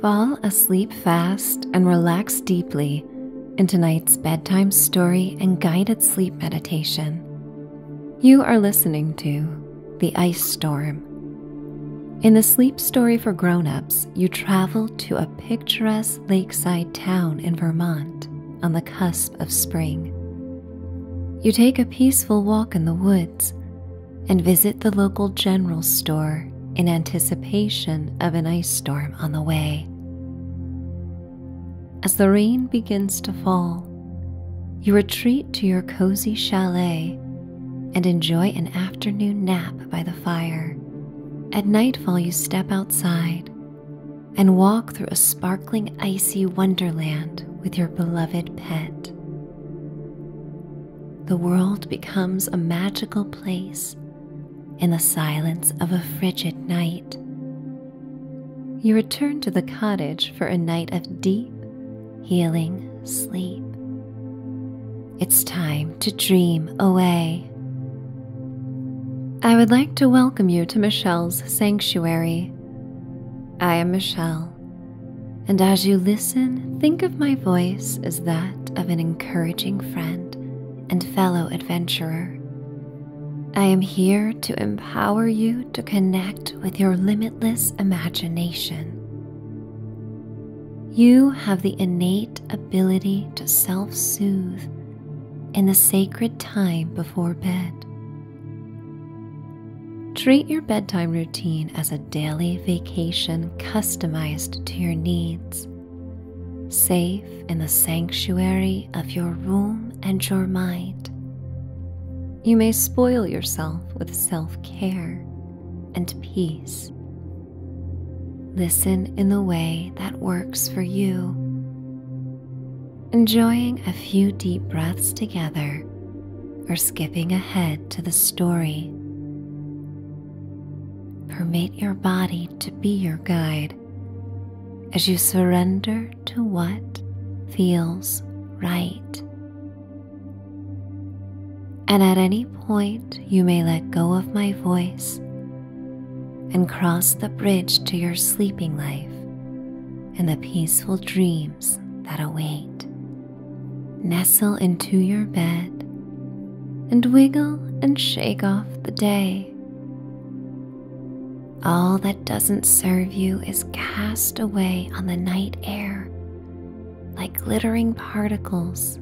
Fall asleep fast and relax deeply in tonight's bedtime story and guided sleep meditation. You are listening to The Ice Storm. In the sleep story for grown ups, you travel to a picturesque lakeside town in Vermont on the cusp of spring. You take a peaceful walk in the woods and visit the local general store in anticipation of an ice storm on the way. As the rain begins to fall, you retreat to your cozy chalet and enjoy an afternoon nap by the fire. At nightfall, you step outside and walk through a sparkling icy wonderland with your beloved pet the world becomes a magical place in the silence of a frigid night. You return to the cottage for a night of deep, healing sleep. It's time to dream away. I would like to welcome you to Michelle's Sanctuary. I am Michelle, and as you listen, think of my voice as that of an encouraging friend and fellow adventurer. I am here to empower you to connect with your limitless imagination. You have the innate ability to self soothe in the sacred time before bed. Treat your bedtime routine as a daily vacation customized to your needs, safe in the sanctuary of your room and your mind. You may spoil yourself with self care and peace. Listen in the way that works for you, enjoying a few deep breaths together or skipping ahead to the story Permit your body to be your guide as you surrender to what feels right. And at any point, you may let go of my voice and cross the bridge to your sleeping life and the peaceful dreams that await. Nestle into your bed and wiggle and shake off the day. All that doesn't serve you is cast away on the night air like glittering particles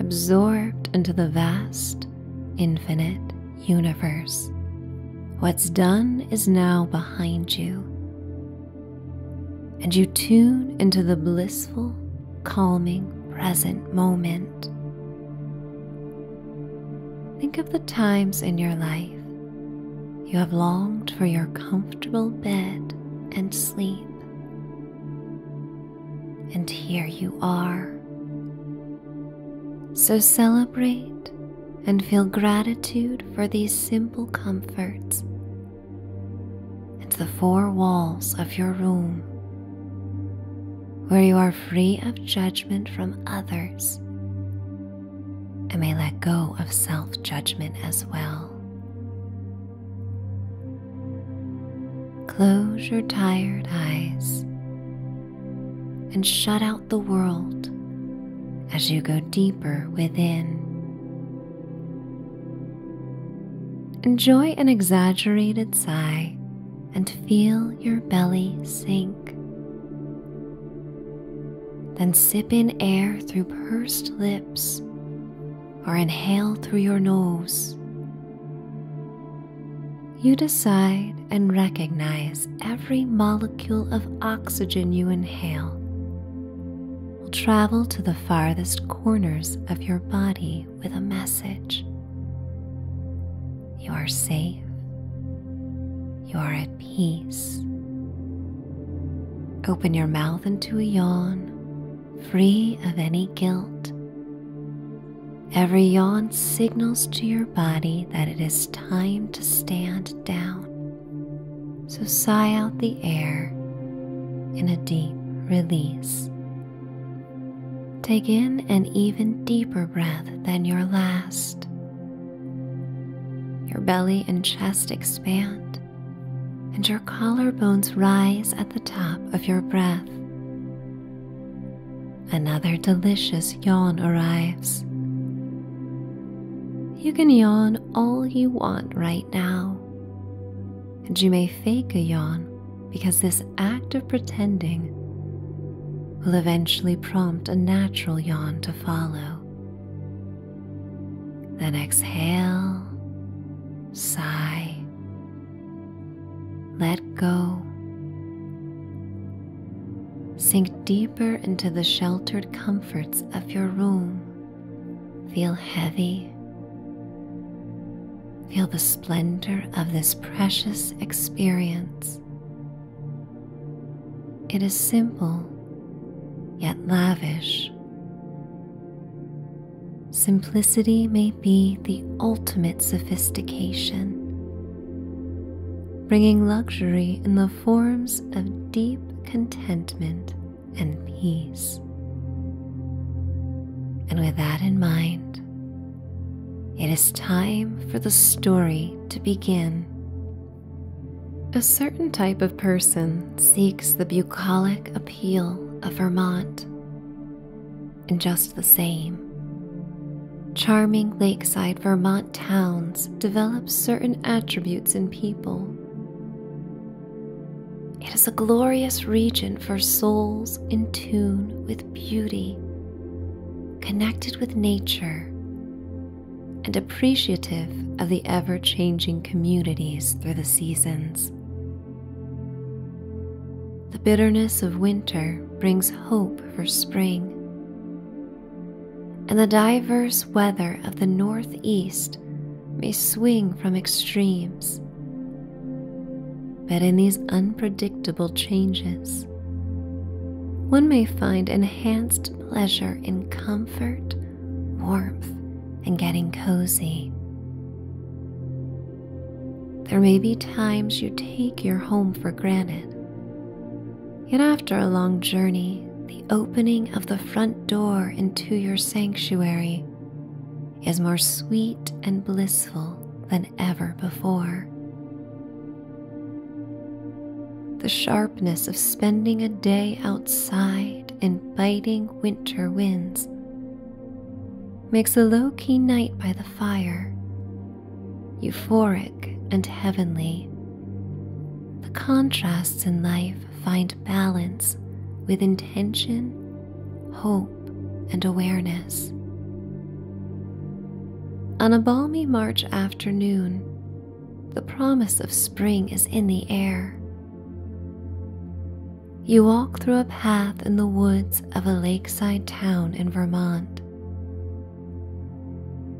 absorbed into the vast, infinite universe. What's done is now behind you, and you tune into the blissful, calming present moment. Think of the times in your life you have longed for your comfortable bed and sleep. And here you are. So celebrate and feel gratitude for these simple comforts and the four walls of your room, where you are free of judgment from others and may let go of self judgment as well. Close your tired eyes and shut out the world as you go deeper within. Enjoy an exaggerated sigh and feel your belly sink. Then sip in air through pursed lips or inhale through your nose. You decide and recognize every molecule of oxygen you inhale will travel to the farthest corners of your body with a message. You are safe. You are at peace. Open your mouth into a yawn, free of any guilt. Every yawn signals to your body that it is time to stand down so sigh out the air in a deep release. Take in an even deeper breath than your last. Your belly and chest expand, and your collarbones rise at the top of your breath. Another delicious yawn arrives. You can yawn all you want right now and you may fake a yawn because this act of pretending will eventually prompt a natural yawn to follow. Then exhale, sigh, let go. Sink deeper into the sheltered comforts of your room. Feel heavy. Feel the splendor of this precious experience. It is simple yet lavish. Simplicity may be the ultimate sophistication, bringing luxury in the forms of deep contentment and peace. And with that in mind, it is time for the story to begin. A certain type of person seeks the bucolic appeal of Vermont. And just the same, charming lakeside Vermont towns develop certain attributes in people it is a glorious region for souls in tune with beauty, connected with nature, and appreciative of the ever changing communities through the seasons. The bitterness of winter brings hope for spring, and the diverse weather of the Northeast may swing from extremes. But in these unpredictable changes, one may find enhanced pleasure in comfort, warmth, and getting cozy. There may be times you take your home for granted. Yet after a long journey, the opening of the front door into your sanctuary is more sweet and blissful than ever before. The sharpness of spending a day outside in biting winter winds makes a low key night by the fire euphoric and heavenly. The contrasts in life find balance with intention, hope, and awareness. On a balmy March afternoon, the promise of spring is in the air. You walk through a path in the woods of a lakeside town in Vermont.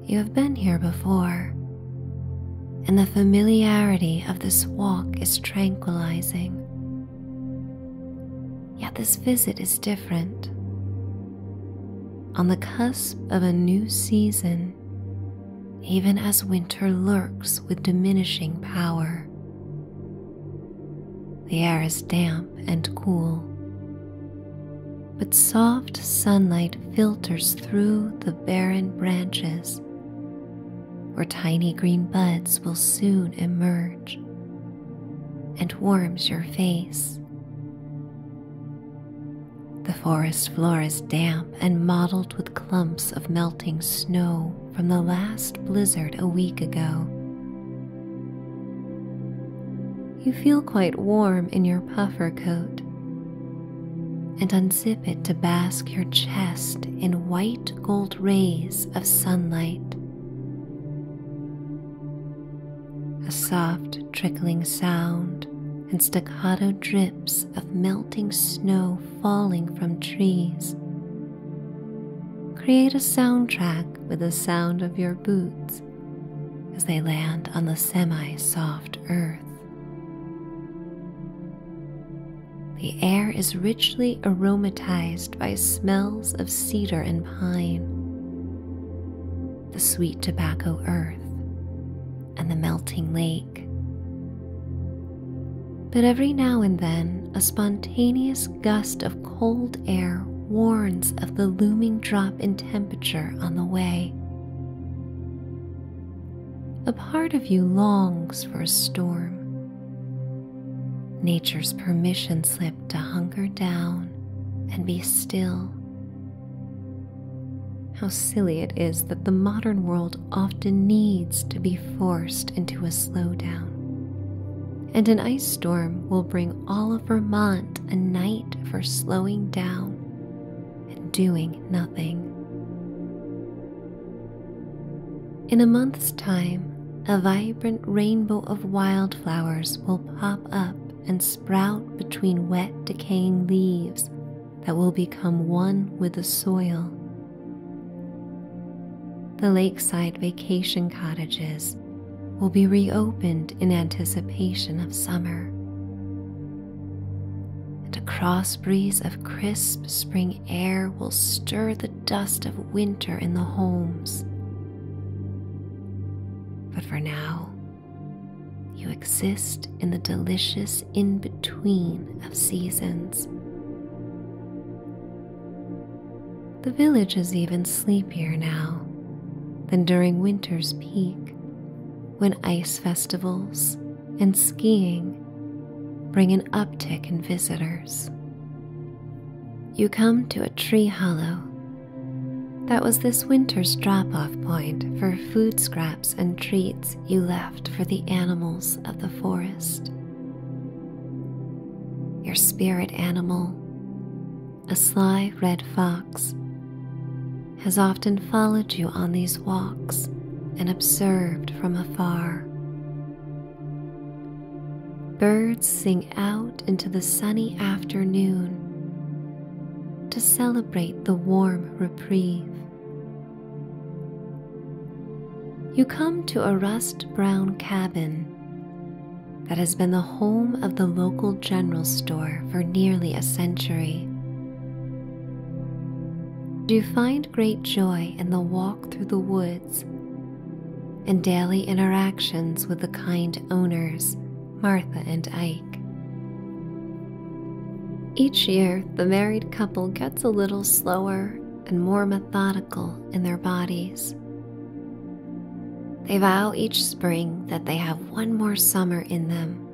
You have been here before, and the familiarity of this walk is tranquilizing. Yet this visit is different. On the cusp of a new season, even as winter lurks with diminishing power. The air is damp and cool, but soft sunlight filters through the barren branches where tiny green buds will soon emerge and warms your face. The forest floor is damp and mottled with clumps of melting snow from the last blizzard a week ago. You feel quite warm in your puffer coat and unzip it to bask your chest in white gold rays of sunlight. A soft trickling sound and staccato drips of melting snow falling from trees. Create a soundtrack with the sound of your boots as they land on the semi soft earth. The air is richly aromatized by smells of cedar and pine, the sweet tobacco earth, and the melting lake. But every now and then, a spontaneous gust of cold air warns of the looming drop in temperature on the way a part of you longs for a storm. Nature's permission slip to hunker down and be still. How silly it is that the modern world often needs to be forced into a slowdown. And an ice storm will bring all of Vermont a night for slowing down and doing nothing. In a month's time, a vibrant rainbow of wildflowers will pop up and sprout between wet, decaying leaves that will become one with the soil. The lakeside vacation cottages will be reopened in anticipation of summer. And a cross breeze of crisp spring air will stir the dust of winter in the homes. But for now, you exist in the delicious in between of seasons. The village is even sleepier now than during winter's peak, when ice festivals and skiing bring an uptick in visitors. You come to a tree hollow that was this winter's drop off point for food scraps and treats you left for the animals of the forest. Your spirit animal, a sly red fox, has often followed you on these walks and observed from afar. Birds sing out into the sunny afternoon to celebrate the warm reprieve. You come to a rust brown cabin that has been the home of the local general store for nearly a century. Do you find great joy in the walk through the woods and daily interactions with the kind owners, Martha and Ike. Each year, the married couple gets a little slower and more methodical in their bodies. They vow each spring that they have one more summer in them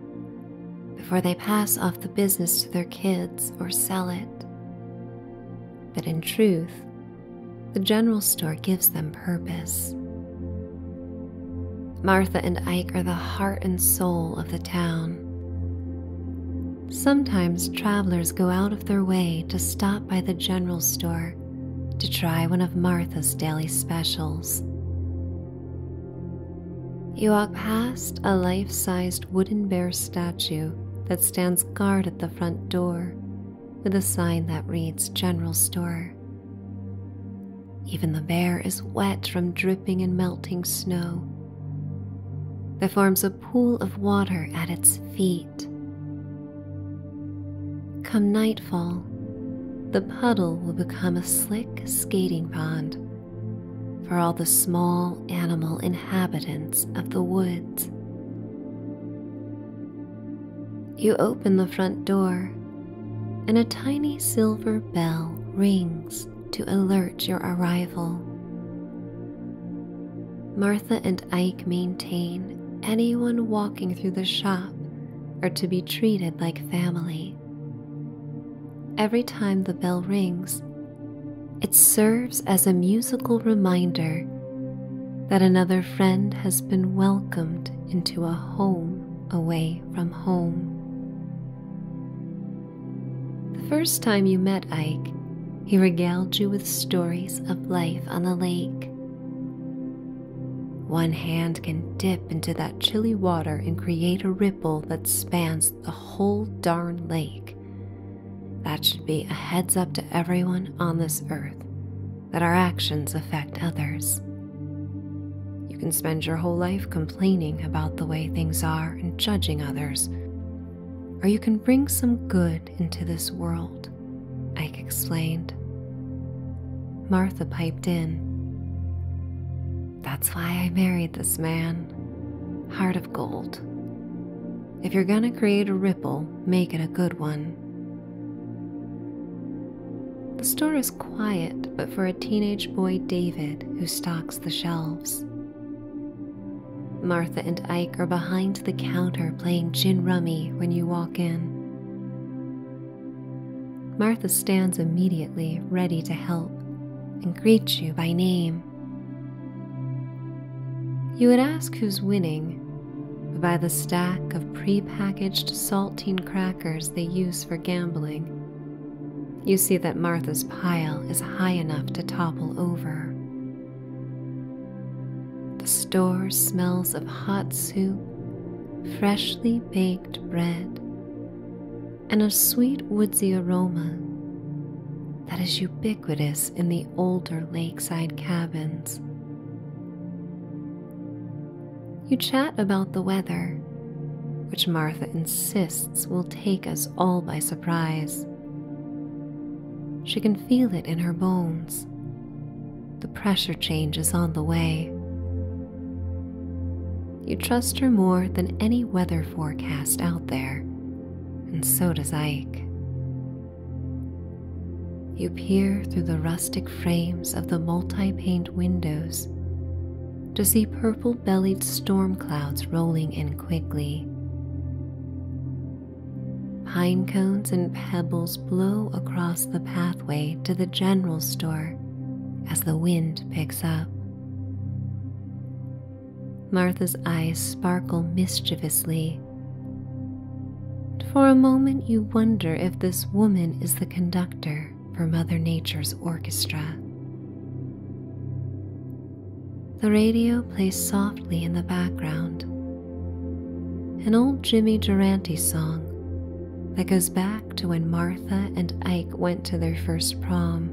before they pass off the business to their kids or sell it. But in truth, the general store gives them purpose. Martha and Ike are the heart and soul of the town. Sometimes travelers go out of their way to stop by the general store to try one of Martha's daily specials. You walk past a life sized wooden bear statue that stands guard at the front door with a sign that reads General Store. Even the bear is wet from dripping and melting snow that forms a pool of water at its feet. Come nightfall, the puddle will become a slick skating pond for all the small animal inhabitants of the woods. You open the front door, and a tiny silver bell rings to alert your arrival. Martha and Ike maintain anyone walking through the shop are to be treated like family. Every time the bell rings, it serves as a musical reminder that another friend has been welcomed into a home away from home. The first time you met Ike, he regaled you with stories of life on the lake. One hand can dip into that chilly water and create a ripple that spans the whole darn lake. That should be a heads up to everyone on this earth that our actions affect others. You can spend your whole life complaining about the way things are and judging others, or you can bring some good into this world, Ike explained. Martha piped in. That's why I married this man heart of gold. If you're gonna create a ripple, make it a good one. The store is quiet, but for a teenage boy, David, who stocks the shelves. Martha and Ike are behind the counter playing gin rummy when you walk in. Martha stands immediately ready to help and greets you by name. You would ask who's winning by the stack of prepackaged saltine crackers they use for gambling. You see that Martha's pile is high enough to topple over. The store smells of hot soup, freshly baked bread, and a sweet woodsy aroma that is ubiquitous in the older lakeside cabins. You chat about the weather, which Martha insists will take us all by surprise. She can feel it in her bones. The pressure change is on the way. You trust her more than any weather forecast out there, and so does Ike. You peer through the rustic frames of the multi pane windows to see purple bellied storm clouds rolling in quickly. Pine cones and pebbles blow across the pathway to the general store as the wind picks up. Martha's eyes sparkle mischievously. For a moment, you wonder if this woman is the conductor for Mother Nature's orchestra. The radio plays softly in the background, an old Jimmy Durante song that goes back to when Martha and Ike went to their first prom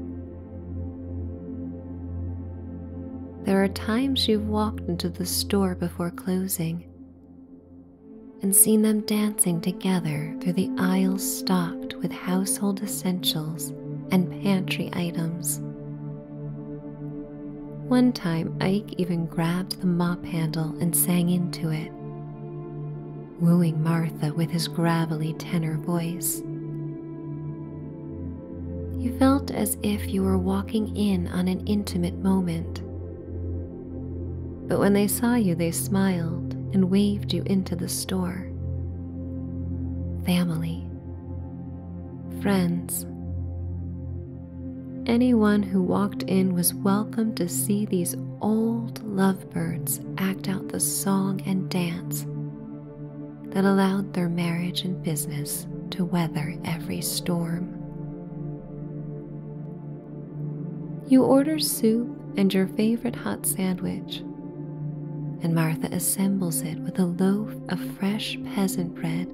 there are times you've walked into the store before closing and seen them dancing together through the aisles stocked with household essentials and pantry items. One time, Ike even grabbed the mop handle and sang into it, wooing Martha with his gravelly tenor voice. You felt as if you were walking in on an intimate moment. But when they saw you, they smiled and waved you into the store. Family, friends, anyone who walked in was welcome to see these old lovebirds act out the song and dance that allowed their marriage and business to weather every storm. You order soup and your favorite hot sandwich, and Martha assembles it with a loaf of fresh peasant bread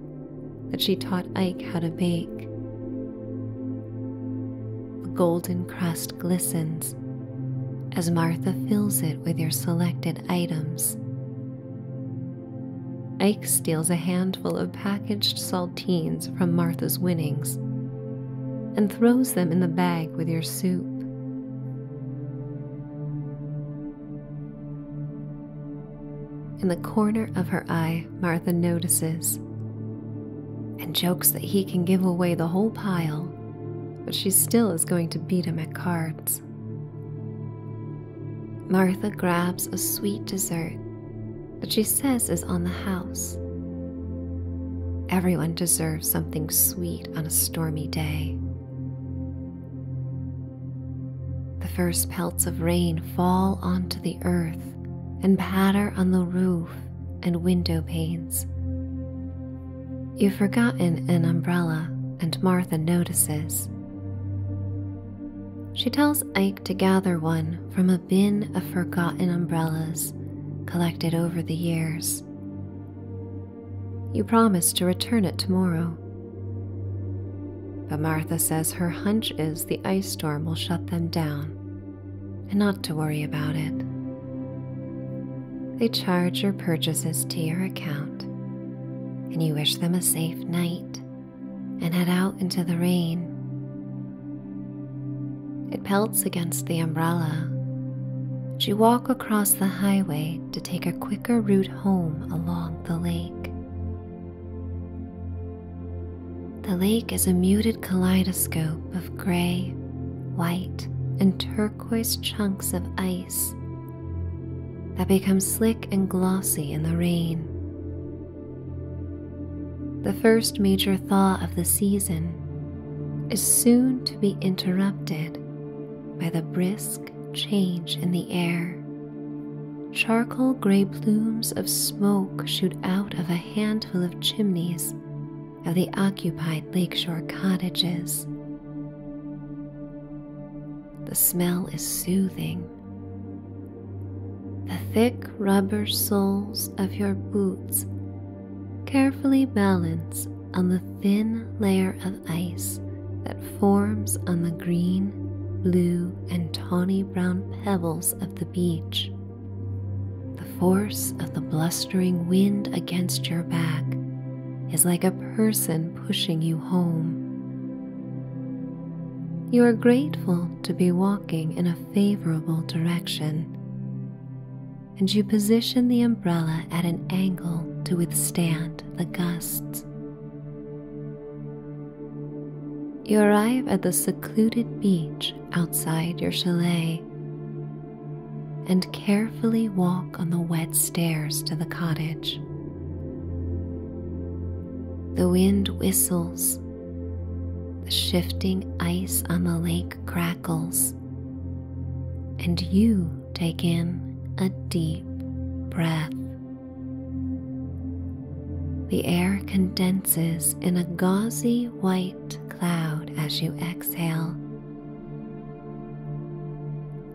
that she taught Ike how to bake. The golden crust glistens as Martha fills it with your selected items. Ike steals a handful of packaged saltines from Martha's winnings and throws them in the bag with your soup. In the corner of her eye, Martha notices and jokes that he can give away the whole pile, but she still is going to beat him at cards. Martha grabs a sweet dessert that she says is on the house. Everyone deserves something sweet on a stormy day. The first pelts of rain fall onto the earth and patter on the roof and window panes, You've forgotten an umbrella, and Martha notices. She tells Ike to gather one from a bin of forgotten umbrellas collected over the years. You promise to return it tomorrow. But Martha says her hunch is the ice storm will shut them down and not to worry about it. They charge your purchases to your account, and you wish them a safe night and head out into the rain. It pelts against the umbrella, but you walk across the highway to take a quicker route home along the lake. The lake is a muted kaleidoscope of gray, white, and turquoise chunks of ice that becomes slick and glossy in the rain. The first major thaw of the season is soon to be interrupted by the brisk change in the air. Charcoal gray plumes of smoke shoot out of a handful of chimneys of the occupied lakeshore cottages the smell is soothing. The thick rubber soles of your boots carefully balance on the thin layer of ice that forms on the green, blue, and tawny brown pebbles of the beach. The force of the blustering wind against your back is like a person pushing you home. You are grateful to be walking in a favorable direction, and you position the umbrella at an angle to withstand the gusts. You arrive at the secluded beach outside your chalet and carefully walk on the wet stairs to the cottage. The wind whistles, the shifting ice on the lake crackles, and you take in a deep breath. The air condenses in a gauzy white cloud as you exhale,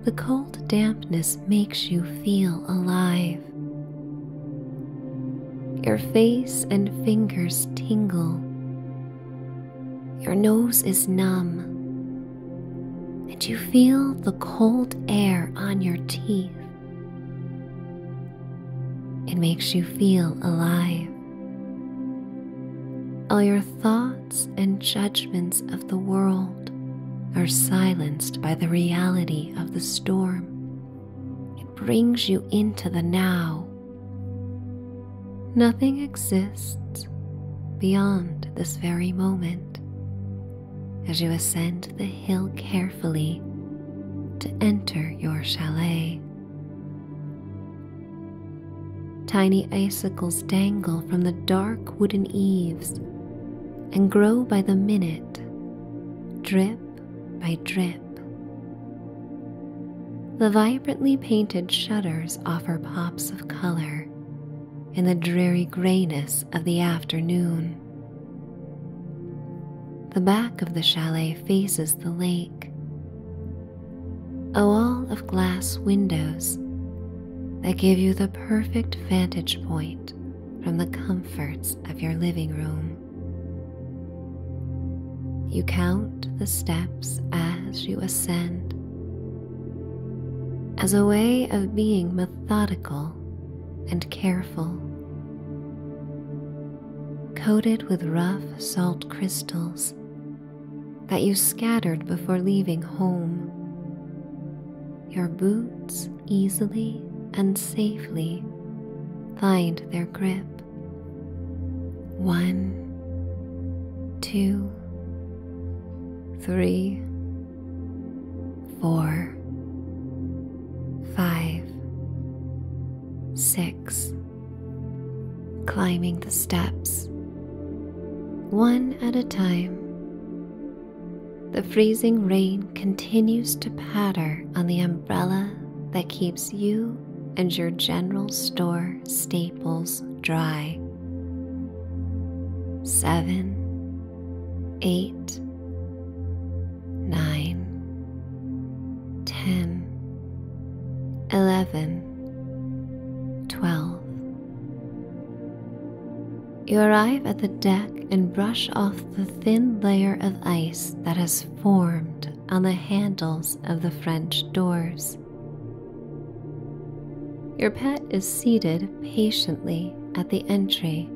the cold dampness makes you feel alive. Your face and fingers tingle. Your nose is numb, and you feel the cold air on your teeth. It makes you feel alive. All your thoughts and judgments of the world are silenced by the reality of the storm. It brings you into the now. Nothing exists beyond this very moment as you ascend the hill carefully to enter your chalet. Tiny icicles dangle from the dark wooden eaves and grow by the minute, drip by drip. The vibrantly painted shutters offer pops of color in the dreary grayness of the afternoon. The back of the chalet faces the lake, a wall of glass windows that give you the perfect vantage point from the comforts of your living room. You count the steps as you ascend as a way of being methodical and careful. Coated with rough salt crystals that you scattered before leaving home. Your boots easily and safely find their grip. One, two, three, four, five, six. Climbing the steps one at a time, the freezing rain continues to patter on the umbrella that keeps you and your general store staples dry. Seven, eight, nine, ten, eleven, twelve. You arrive at the deck and brush off the thin layer of ice that has formed on the handles of the French doors. Your pet is seated patiently at the entry,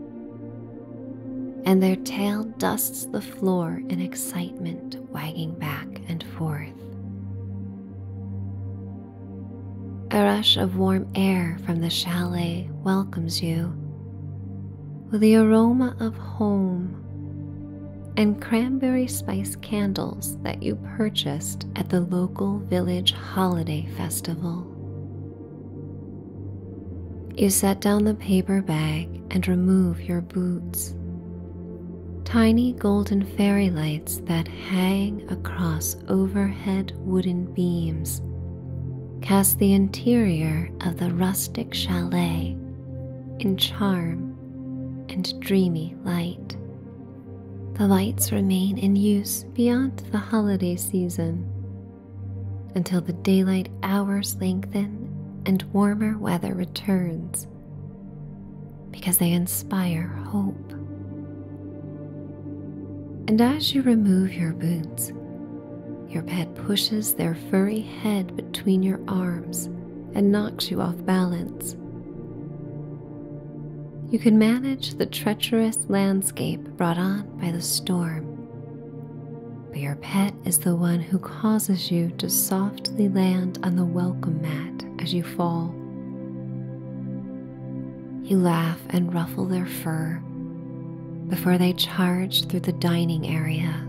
and their tail dusts the floor in excitement, wagging back and forth. A rush of warm air from the chalet welcomes you with the aroma of home and cranberry spice candles that you purchased at the local village holiday festival. You set down the paper bag and remove your boots, tiny golden fairy lights that hang across overhead wooden beams cast the interior of the rustic chalet in charm and dreamy light. The lights remain in use beyond the holiday season until the daylight hours lengthen and warmer weather returns because they inspire hope. And as you remove your boots, your pet pushes their furry head between your arms and knocks you off balance. You can manage the treacherous landscape brought on by the storm, but your pet is the one who causes you to softly land on the welcome mat as you fall. You laugh and ruffle their fur before they charge through the dining area.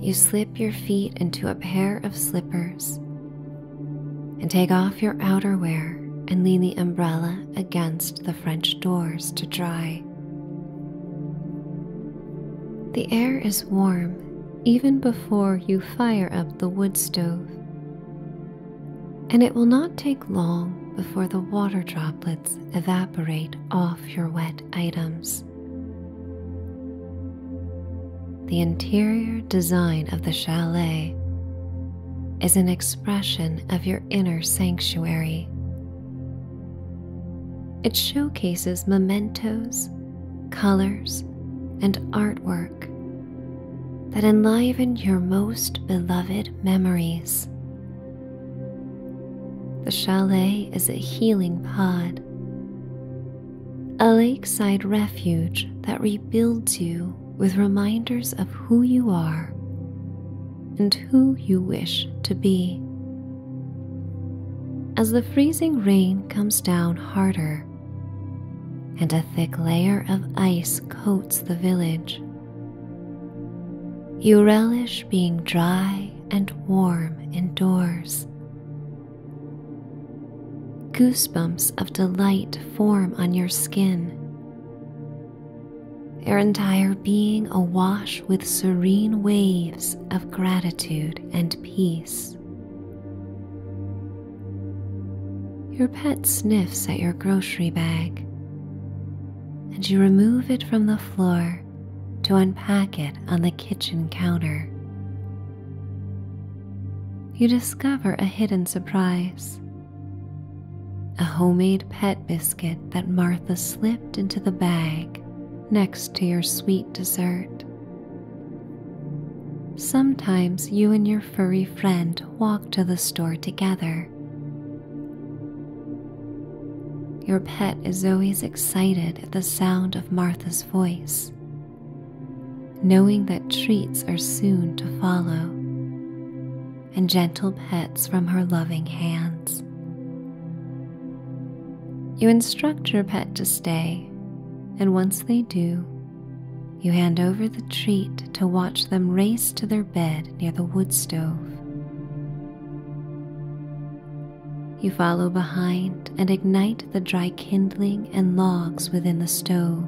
You slip your feet into a pair of slippers and take off your outerwear and lean the umbrella against the French doors to dry. The air is warm even before you fire up the wood stove. And it will not take long before the water droplets evaporate off your wet items. The interior design of the chalet is an expression of your inner sanctuary. It showcases mementos colors, and artwork that enliven your most beloved memories. The chalet is a healing pod, a lakeside refuge that rebuilds you with reminders of who you are and who you wish to be. As the freezing rain comes down harder, and a thick layer of ice coats the village. You relish being dry and warm indoors. Goosebumps of delight form on your skin, your entire being awash with serene waves of gratitude and peace. Your pet sniffs at your grocery bag, and you remove it from the floor to unpack it on the kitchen counter. You discover a hidden surprise a homemade pet biscuit that Martha slipped into the bag next to your sweet dessert. Sometimes you and your furry friend walk to the store together. Your pet is always excited at the sound of Martha's voice, knowing that treats are soon to follow and gentle pets from her loving hands. You instruct your pet to stay, and once they do, you hand over the treat to watch them race to their bed near the wood stove. You follow behind and ignite the dry kindling and logs within the stove.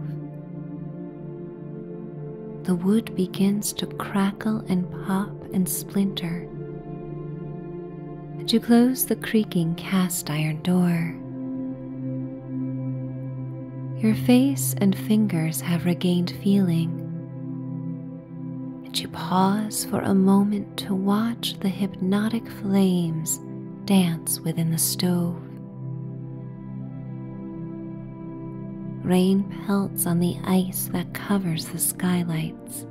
The wood begins to crackle and pop and splinter. To close the creaking cast iron door. Your face and fingers have regained feeling, and you pause for a moment to watch the hypnotic flames dance within the stove. Rain pelts on the ice that covers the skylights.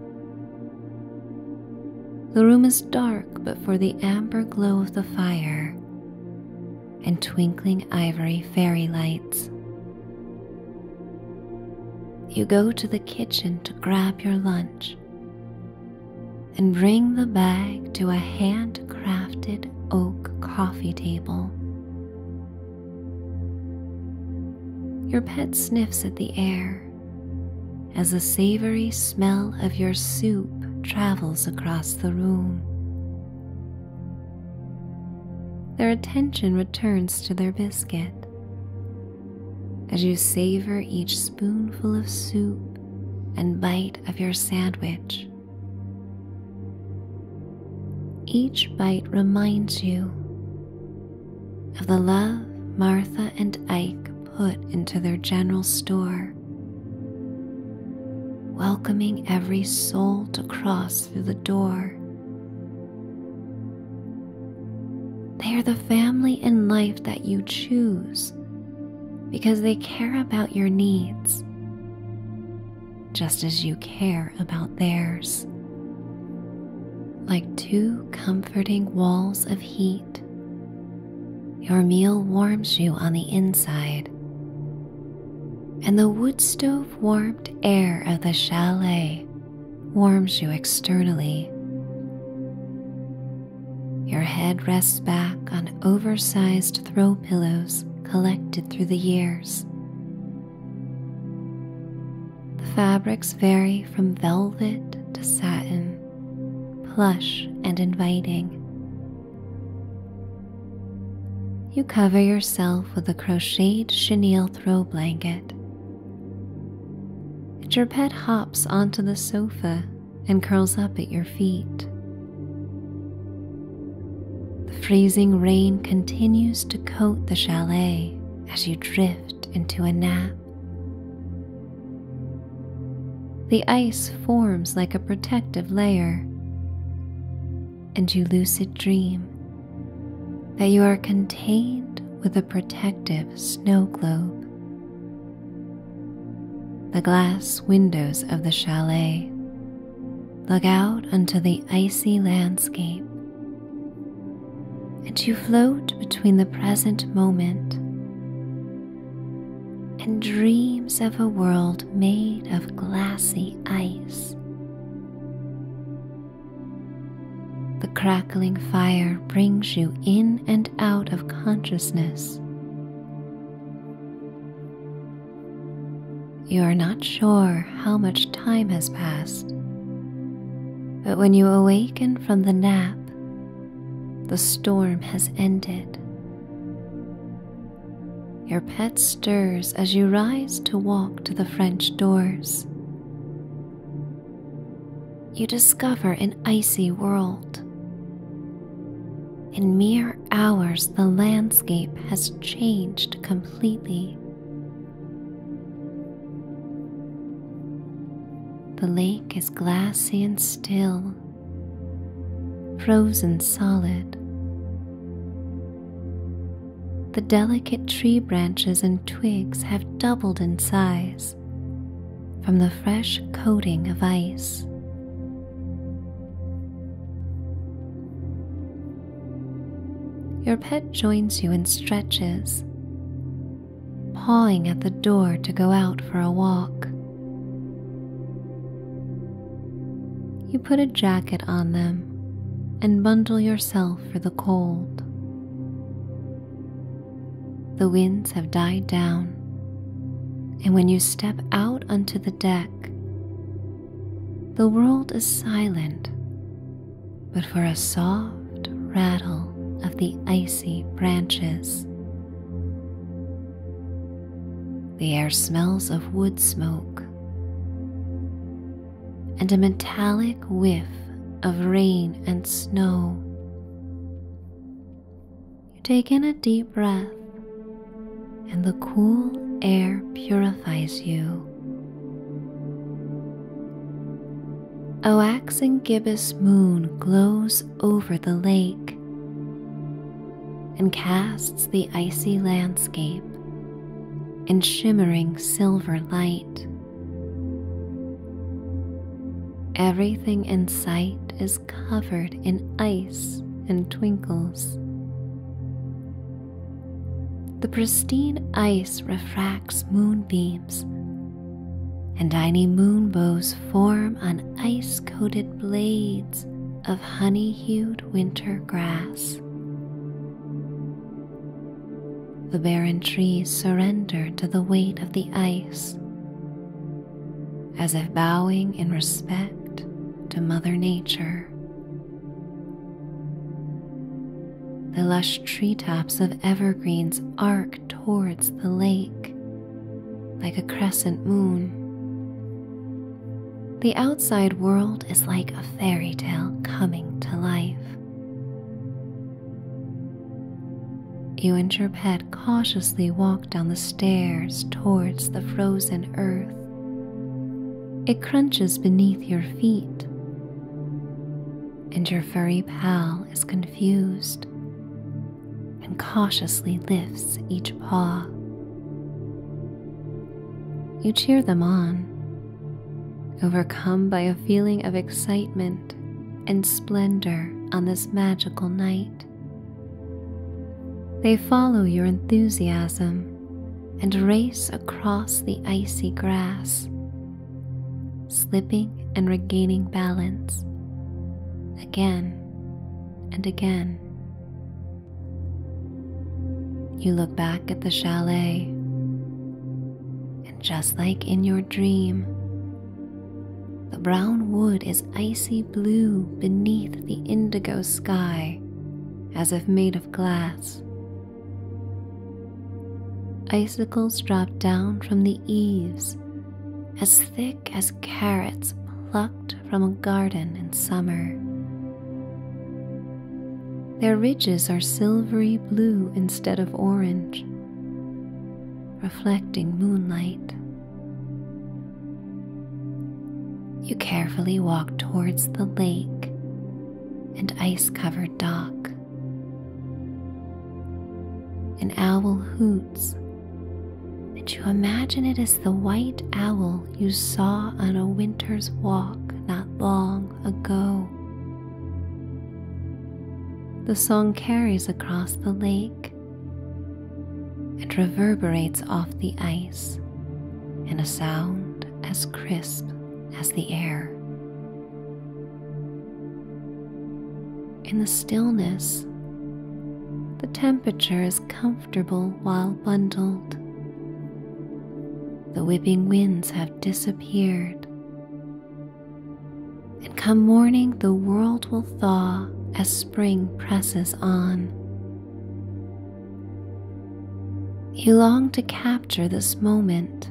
The room is dark but for the amber glow of the fire and twinkling ivory fairy lights. You go to the kitchen to grab your lunch and bring the bag to a handcrafted oak coffee table. Your pet sniffs at the air as the savory smell of your soup travels across the room. Their attention returns to their biscuit. As you savor each spoonful of soup and bite of your sandwich, each bite reminds you of the love Martha and Ike put into their general store, welcoming every soul to cross through the door. They are the family and life that you choose because they care about your needs just as you care about theirs. Like two comforting walls of heat your meal warms you on the inside, and the wood stove warmed air of the chalet warms you externally. Your head rests back on oversized throw pillows collected through the years. The fabrics vary from velvet to satin, plush and inviting. You cover yourself with a crocheted chenille throw blanket. your pet hops onto the sofa and curls up at your feet. The freezing rain continues to coat the chalet as you drift into a nap. The ice forms like a protective layer, and you lucid dream that you are contained with a protective snow globe. The glass windows of the chalet look out onto the icy landscape, and you float between the present moment and dreams of a world made of glassy ice. The crackling fire brings you in and out of consciousness. You are not sure how much time has passed, but when you awaken from the nap, the storm has ended. Your pet stirs as you rise to walk to the French doors. You discover an icy world. In mere hours, the landscape has changed completely. The lake is glassy and still frozen solid. The delicate tree branches and twigs have doubled in size from the fresh coating of ice. Your pet joins you in stretches, pawing at the door to go out for a walk. You put a jacket on them and bundle yourself for the cold. The winds have died down, and when you step out onto the deck, the world is silent, but for a soft rattle of the icy branches. The air smells of wood smoke and a metallic whiff of rain and snow. You take in a deep breath, and the cool air purifies you. A waxing gibbous moon glows over the lake and casts the icy landscape in shimmering silver light. Everything in sight is covered in ice and twinkles. The pristine ice refracts moonbeams and tiny moonbows form on ice coated blades of honey hued winter grass. The barren trees surrender to the weight of the ice, as if bowing in respect to Mother Nature. The lush tree tops of evergreens arc towards the lake like a crescent moon. The outside world is like a fairy tale coming to life. You and your pet cautiously walk down the stairs towards the frozen earth. It crunches beneath your feet, and your furry pal is confused and cautiously lifts each paw. You cheer them on, overcome by a feeling of excitement and splendor on this magical night. They follow your enthusiasm and race across the icy grass, slipping and regaining balance again and again. You look back at the chalet, and just like in your dream, the brown wood is icy blue beneath the indigo sky as if made of glass. Icicles drop down from the eaves as thick as carrots plucked from a garden in summer. Their ridges are silvery blue instead of orange, reflecting moonlight. You carefully walk towards the lake and ice covered dock. An owl hoots and you imagine it as the white owl you saw on a winter's walk not long ago. The song carries across the lake and reverberates off the ice in a sound as crisp as the air. In the stillness, the temperature is comfortable while bundled. The whipping winds have disappeared. And come morning, the world will thaw as spring presses on. You long to capture this moment.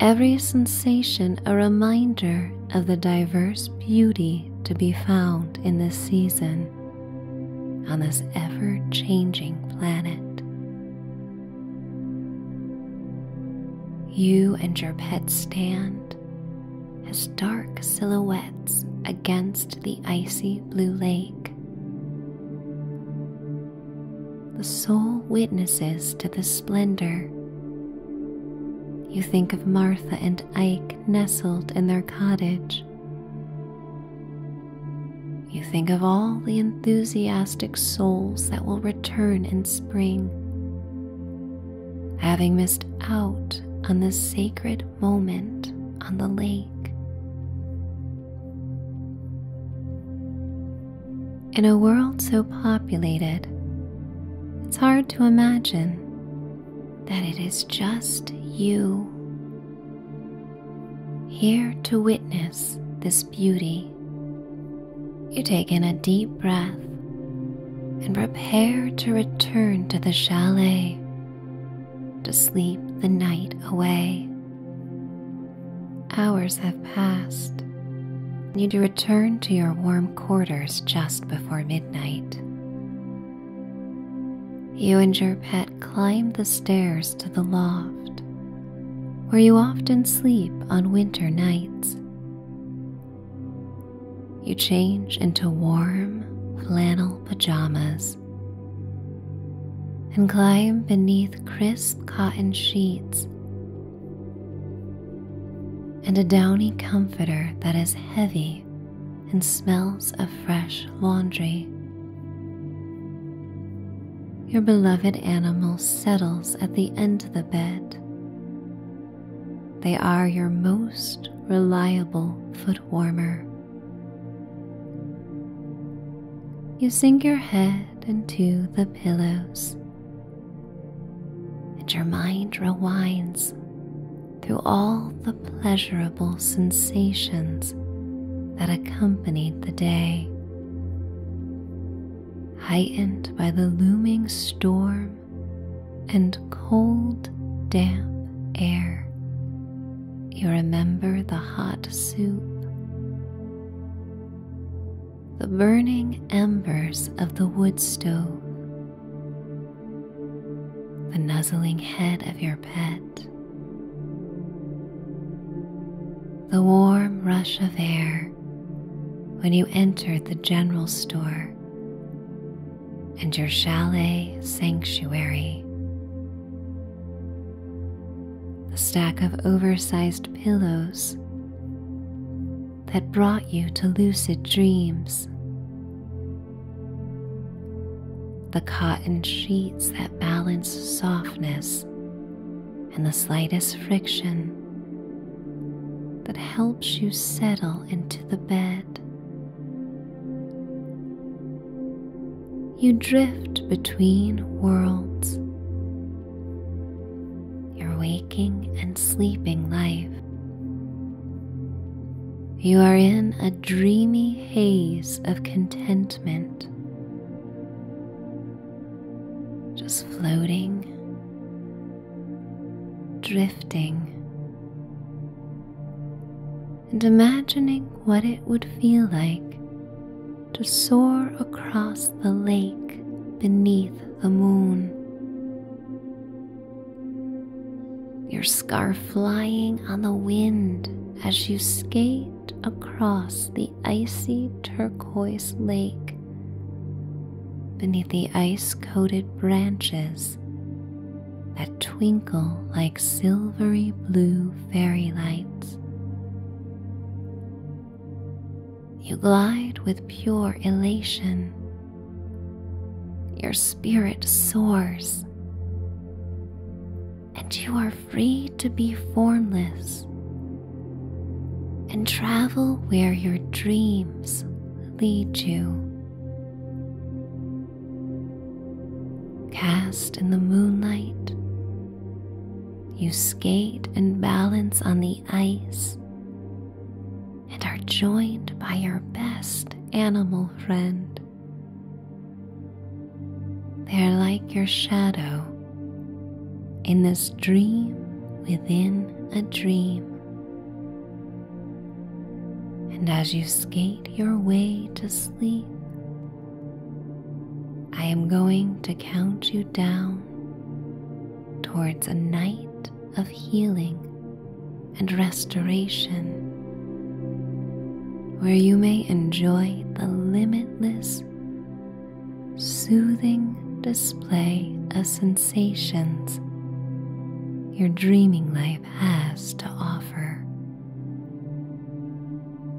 Every sensation a reminder of the diverse beauty to be found in this season on this ever changing planet. You and your pet stand as dark silhouettes against the icy blue lake. The sole witnesses to the splendor you think of Martha and Ike nestled in their cottage. You think of all the enthusiastic souls that will return in spring, having missed out on this sacred moment on the lake. In a world so populated, it's hard to imagine that it is just you here to witness this beauty. You take in a deep breath and prepare to return to the chalet to sleep the night away. Hours have passed, Need to return to your warm quarters just before midnight. You and your pet climb the stairs to the loft, where you often sleep on winter nights. You change into warm flannel pajamas and climb beneath crisp cotton sheets and a downy comforter that is heavy and smells of fresh laundry. Your beloved animal settles at the end of the bed. They are your most reliable foot warmer. You sink your head into the pillows and your mind rewinds through all the pleasurable sensations that accompanied the day. Heightened by the looming storm and cold, damp air, you remember the hot soup, the burning embers of the wood stove, the nuzzling head of your pet, the warm rush of air when you entered the general store and your chalet sanctuary. The stack of oversized pillows that brought you to lucid dreams. The cotton sheets that balance softness and the slightest friction that helps you settle into the bed. You drift between worlds your waking and sleeping life. You are in a dreamy haze of contentment, just floating, drifting, and imagining what it would feel like to soar across the lake beneath the moon, your scarf flying on the wind as you skate across the icy turquoise lake beneath the ice coated branches that twinkle like silvery blue fairy lights. You glide with pure elation. Your spirit soars, and you are free to be formless and travel where your dreams lead you. Cast in the moonlight, you skate and balance on the ice and are joined by your best animal friend. They're like your shadow in this dream within a dream. And as you skate your way to sleep, I am going to count you down towards a night of healing and restoration, where you may enjoy the limitless, soothing display of sensations your dreaming life has to offer. 10,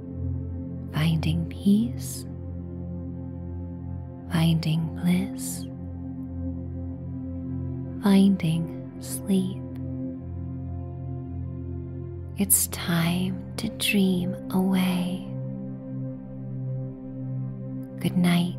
finding peace, finding bliss, finding sleep. It's time to dream away. Good night.